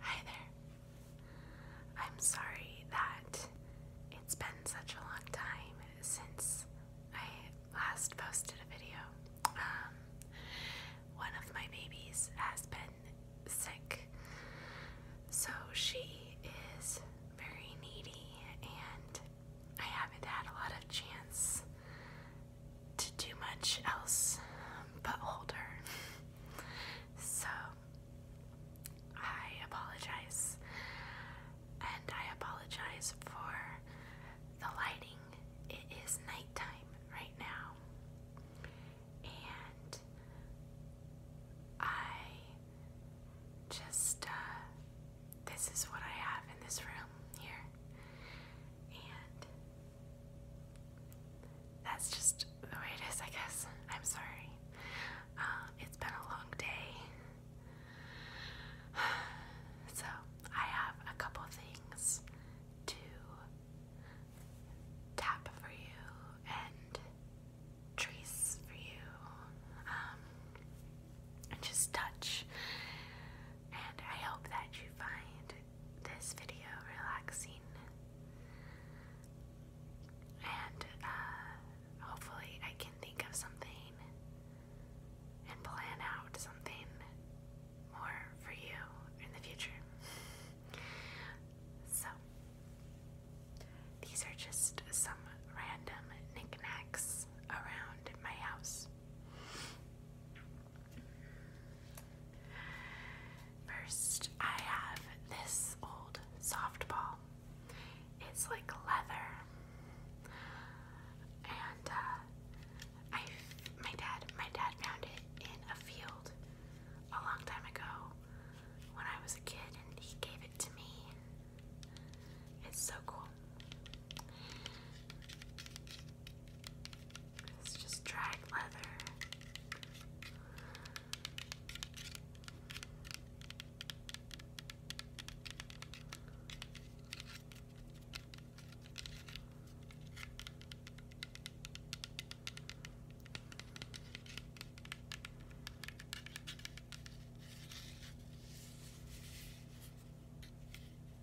Hi there. I'm sorry that it's been such a long time since I last posted a video. Um, one of my babies has been sick, so she is very needy, and I haven't had a lot of chance to do much else but hold her. so I apologize. And I apologize for the lighting. It is nighttime right now. And I just, uh, this is what I have in this room here. And that's just the way it is, I guess. I'm sorry. Uh, it's been a long day. So, I have a couple things to tap for you and trace for you, um, and just touch. And I hope that you find this video relaxing. And uh, hopefully, I can think of something and plan out something more for you in the future. So, these are just some random knickknacks around my house. First, I have this old softball. It's like leather, and uh, I, my dad, my dad found it in a field a long time ago when I was a kid, and he gave it to me. It's so cool. It's just drag leather.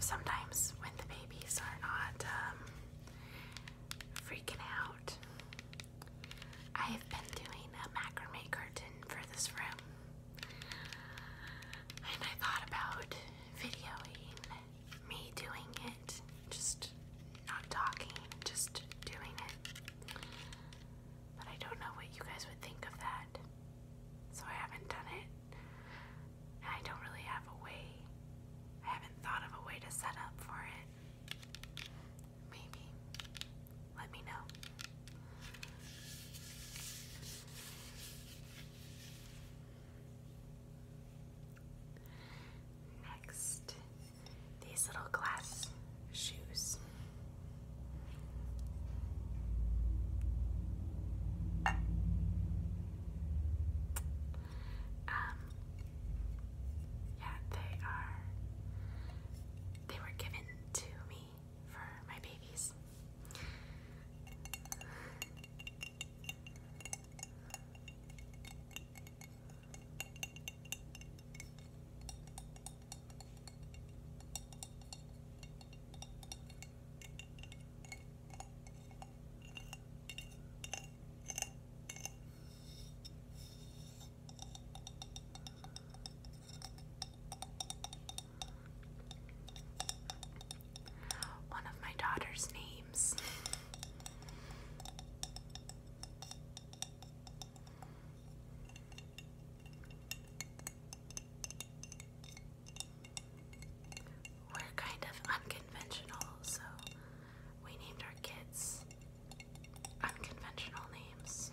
Sometimes when the babies are not um, freaking out, I have been doing a macrame curtain for this room. And I thought about videoing me doing it, just not talking, just doing it. But I don't know what you guys would think of that. So I haven't done it. And I don't really have a way. I haven't thought of a way to set up for it. Maybe. Let me know. Next, these little glass shoes. Um, yeah, they are, they were given to me for my babies. One of my daughter's names we're kind of unconventional, so we named our kids unconventional names.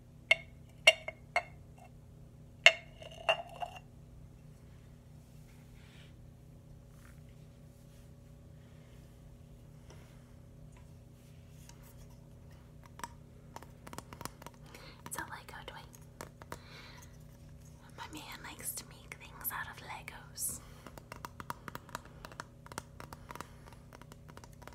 It's a Lego toy. My man likes to make things out of Legos.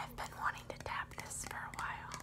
I've been wanting to tap this for a while.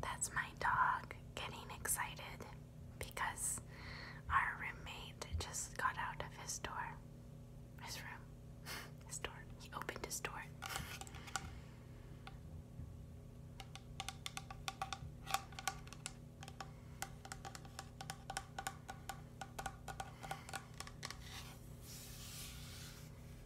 That's my dog getting excited because our roommate just got out of his door. His room. His door. He opened his door.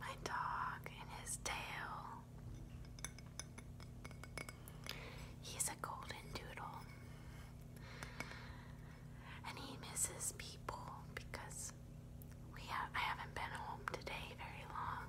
My dog and his tail. He's a golden doodle. And he misses people because we have I haven't been home today very long.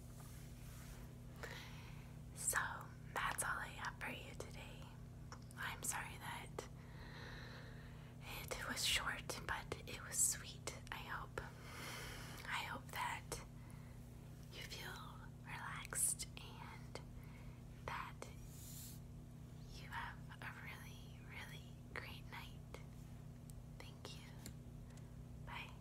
So that's all I have for you today. I'm sorry that it was short, but it was sweet. I hope. I hope that you feel relaxed and that you have a really, really great night. Thank you. Bye.